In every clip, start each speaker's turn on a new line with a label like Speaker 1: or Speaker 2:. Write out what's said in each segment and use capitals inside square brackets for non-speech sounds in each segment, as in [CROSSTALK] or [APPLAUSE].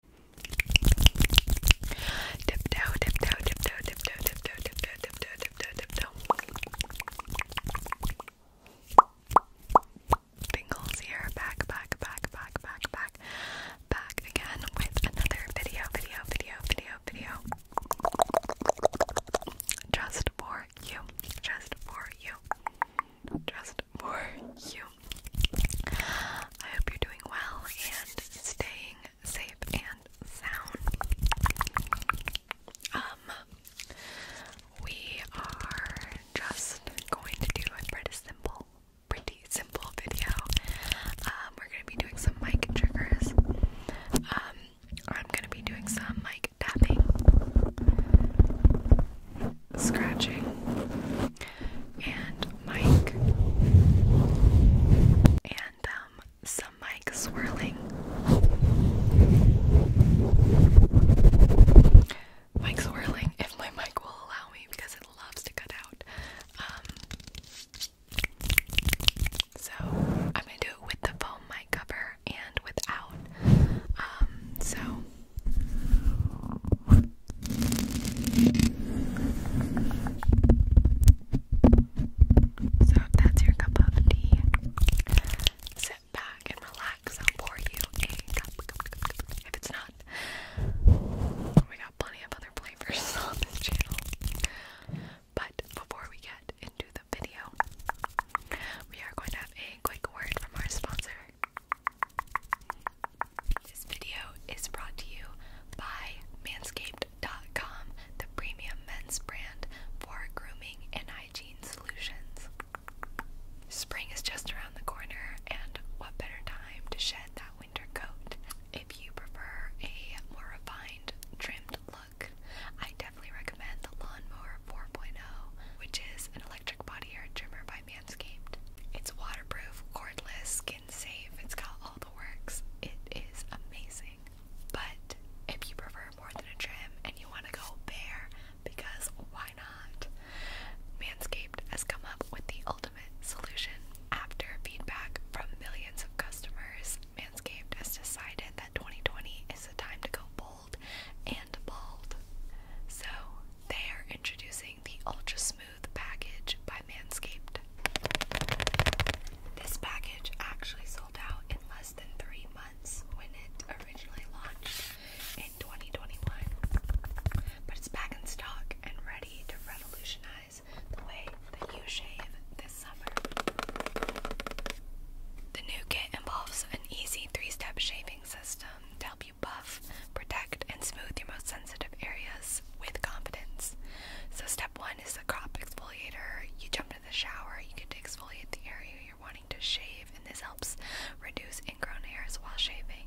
Speaker 1: Tiptoe, tiptoe, tiptoe, tiptoe, tiptoe, tiptoe, tiptoe, tiptoe, tiptoe. Bingles here, back, back, back, back, back, back, back again with another video, video, video, video, video. Just for you, just for you, just for you. I hope you're doing well and staying safe and sound. Um, we are just going to do a pretty simple, pretty simple video. Um, we're gonna be doing some mic triggers. Um, I'm gonna be doing some mic tapping, scratching, and Mike. and um some mic swirling. Mic swirling if my mic will allow me because it loves to cut out. Um so I'm gonna do it with the foam mic cover and without. Um so so, that's your cup of tea, sit back and relax. I'll pour you a cup. If it's not, oh, we got plenty of other flavors [LAUGHS] on this channel. But before we get into the video, we are going to have a quick word from our sponsor. This video is brought to you by manscaped.com, the premium men's brand for grooming and hygiene solutions. Spring is just around the corner, and what better time to shed that winter coat? If you prefer a more refined, trimmed look, I definitely recommend the Lawnmower 4.0, which is an electric body hair trimmer by Manscaped. It's waterproof, cordless, safe. It's got all the works. It is amazing. But if you prefer more than a trim and you want to go bare, because why not? Manscaped has come up with the ultimate solution. After feedback from millions of customers, Manscaped has decided that 2020 is the time to go bold and bald. So they are introducing the Ultra Smooth package by Manscaped. This package actually sold out in less than three months when it originally launched in 2021, but it's back in stock and ready to revolutionize the way that you shave this summer. The new kit involves an easy three step shaving system to help you buff protect, and smooth your most sensitive areas with confidence. So, step one is the crop exfoliator. You jump in the shower, you get to exfoliate the area you're wanting to shave, and this helps reduce ingrown hairs while shaving.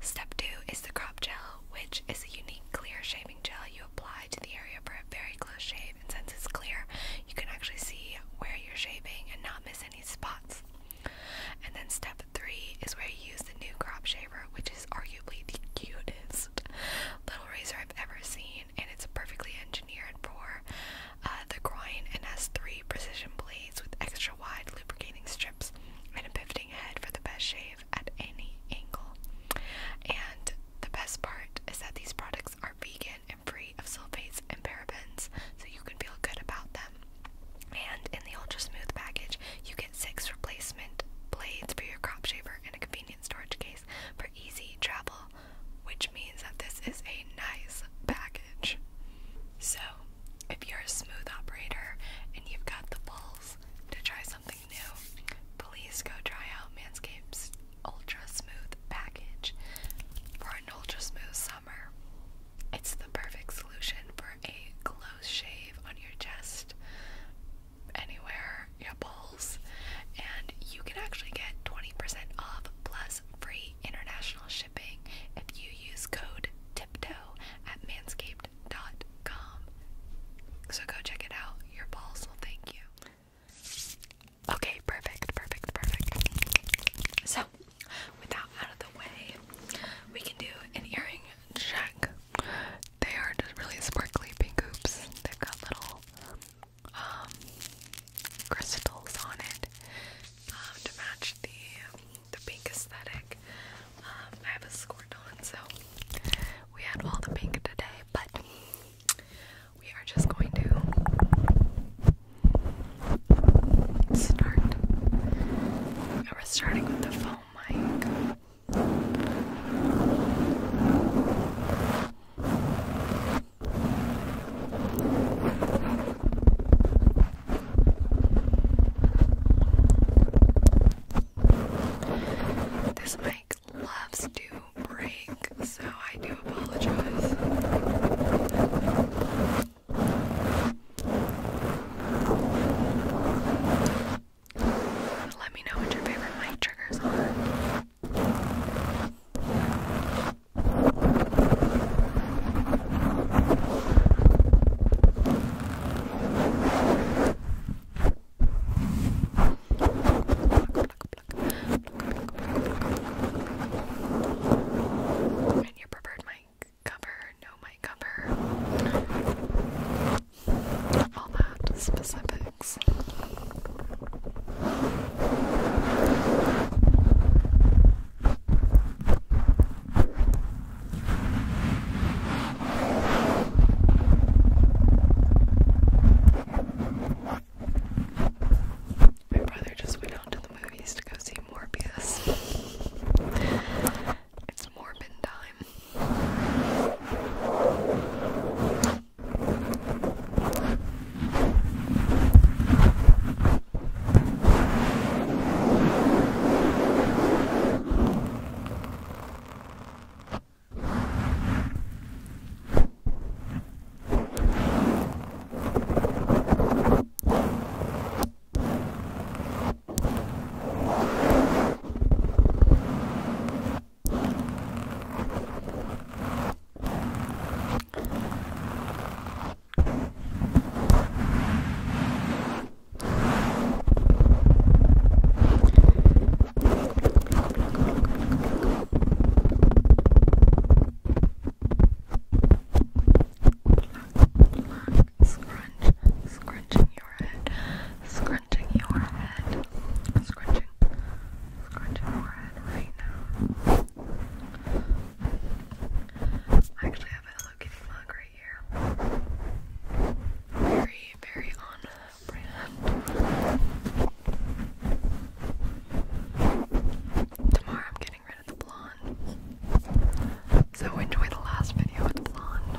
Speaker 1: Step two is the crop gel, which is a unique clear shaving gel you apply to the area for a very close shave, and since it's clear, you can actually see where you're shaving and not miss any spots. And then step three is where you use the new crop shaver, which is arguably the cutest little razor I've ever seen, and it's perfectly engineered for uh, the groin and has three precision blades with extra wide lubricating strips and a pivoting head for the best shave at any angle. And the best part is that these products are vegan and free of sulfates and parabens, so you can feel good about them. And in the ultra smooth package, you get six replacement blades for your crop shaver and a convenient storage case for easy travel, which means that this is a nice package. So, if you're a smooth operator and you've got the balls to try something new, please go try out Manscaped's Ultra Smooth package for an ultra smooth summer. It's the perfect solution for a close shave on your chest anywhere, your balls, and you can actually get 20% off plus free international shipping if you use code tiptoe at manscaped.com. So go check it out. Your balls will thank you. Okay, perfect, perfect, perfect. So, with out of the way, we can do an earring check. They are just really sparkly pink hoops. They've got little um, crystals on it um, to match the the pink aesthetic. Um, I have a squirt on, so we had all the pink today, but we are just going to start. We're starting with the phone mic. This mic loves to break, so I do apologize. Let me know what your favorite mic triggers are. And your preferred mic cover, no might cover all that specifics. My brother just went out to the movies to go see Morbius. It's more pin time. Relax, relax, scrunch, scrunching your head, scrunch, scratching your head. Scratching. Scratching your head right now. I actually have a Hello Kitty right here. Very, very on brand. Tomorrow I'm getting rid of the blonde. So enjoy the last video with the blonde.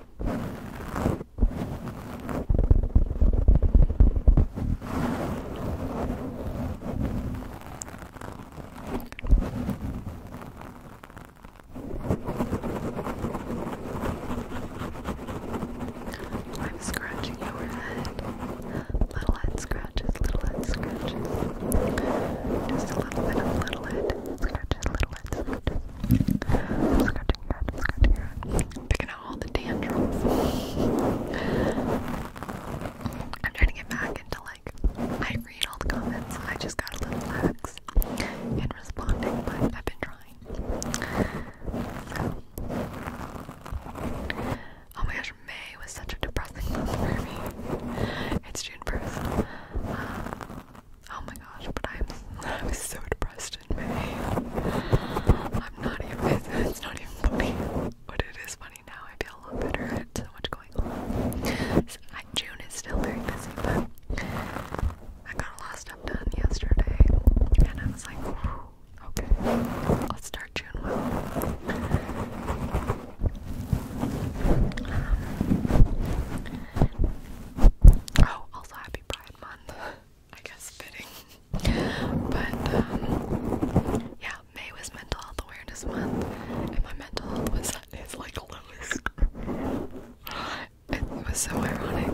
Speaker 1: I'm scratching your head. Little head scratches, little head scratches. Just a little bit of little head scratches, little head Scratches, I'm Picking out all the dandruff. I'm trying to get back into like, I read all the comments, I just got a little lax in responding, but I've been trying. Oh my gosh, May was such a depressing month for me. It's June 1st. Oh my gosh, but I'm I was [LAUGHS] so depressed in May. I'm not even it's, it's not even funny. But it is funny now. I feel a lot better at so much going on. I, June is still very busy, but I got a lot of stuff done yesterday and I was like, okay, I'll start June well. Um, oh, also happy Pride Month. I guess fitting. [LAUGHS] But um, yeah, May was Mental Health Awareness Month, and my mental health was like lowest. it was so ironic.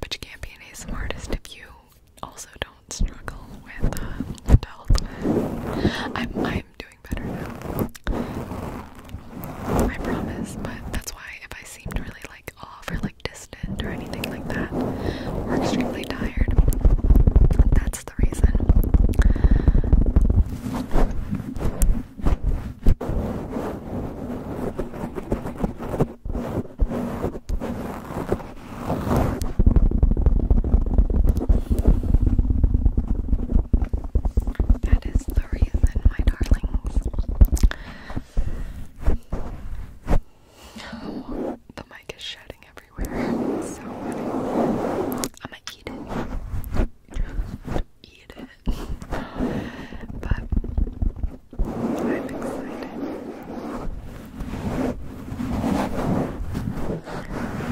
Speaker 1: But you can't be an ASM if you also don't struggle with mental uh, health. I, I I'm doing better now. I promise, but that's why if I seem really like off or like distant or anything like that, we're extremely tired, that's the reason. That is the reason, my darlings. Oh, the mic is shedding everywhere. so I'm gonna eat it. eat it. But I'm excited.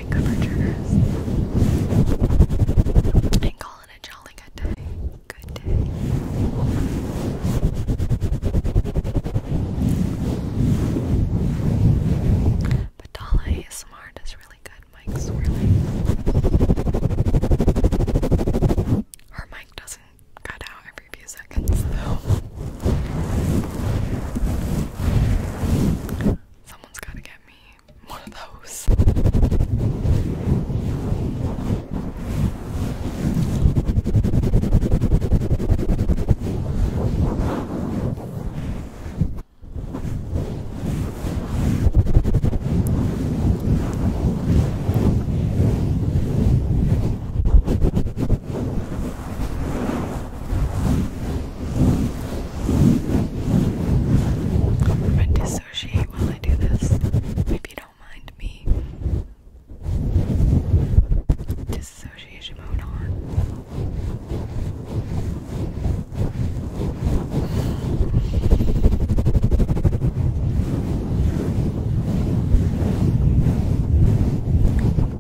Speaker 1: and calling it jolly good day. Good day. But Dala ASMR does really good mic swirling. Her mic doesn't cut out every few seconds though someone's gotta get me one of those i dissociate while I do this. If you don't mind me. Dissociation mode on.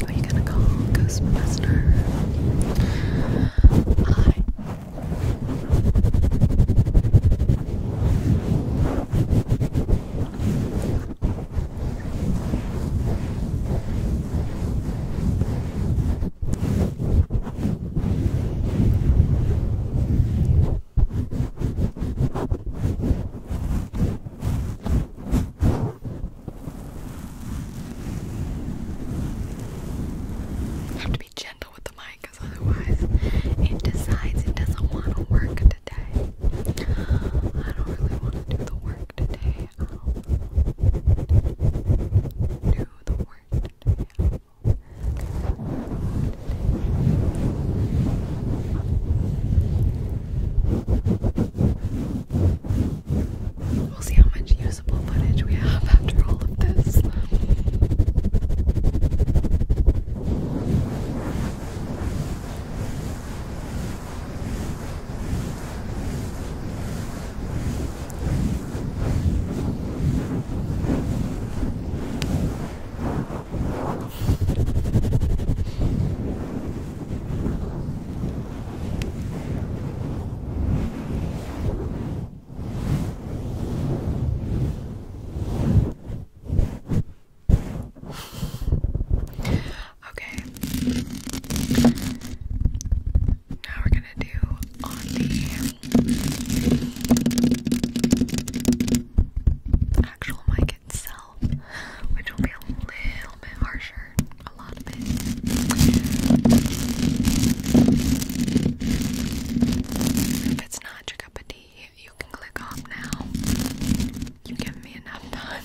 Speaker 1: Are you gonna call Ghostmaster? Hi. Hi have to be gentle with the mic because otherwise it decides it doesn't want to work today. I don't really want to do the work today. do do the work today. We'll see how much usable footage we have after all of this. Okay. Now we're gonna do on the actual mic itself, which will be a little bit harsher, a lot of it. If it's not your cup of you can click off now. You give me enough time.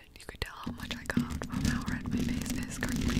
Speaker 1: you could tell how much I got from how red my face is currently.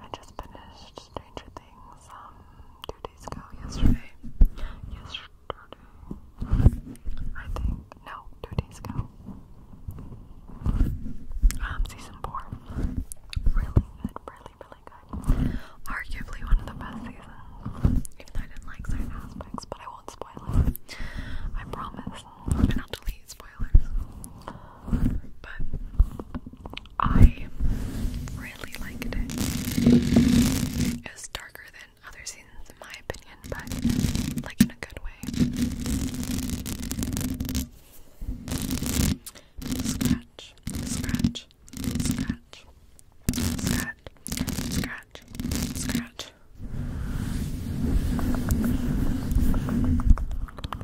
Speaker 1: I just finished Stranger Things um, two days ago yesterday. Yesterday, I think. No, two days ago. Um, season four. Really good, really, really good. Arguably one of the best seasons. Even though I didn't like certain aspects, but I won't spoil it. I promise. And I'll delete spoilers but I really liked it. It darker than other seasons, in my opinion, but like in a good way. Scratch, scratch, scratch, scratch, scratch, scratch.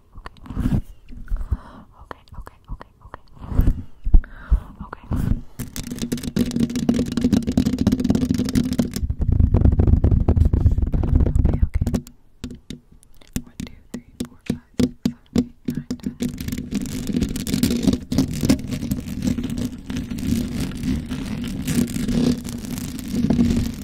Speaker 1: okay, okay, okay, okay, okay, okay, okay. Okay, okay. 1, 2, 3, 4, 5, 6, 7, 8, 9, 10.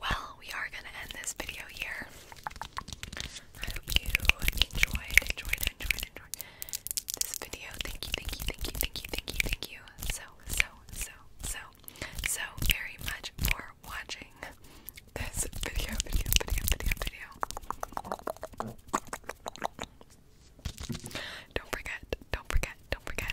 Speaker 1: Well, we are gonna end this video here. I hope you enjoyed, enjoyed, enjoyed, enjoyed this video. Thank you, thank you, thank you, thank you, thank you, thank you so, so, so, so, so very much for watching this video, video, video, video, video. Don't forget, don't forget, don't forget.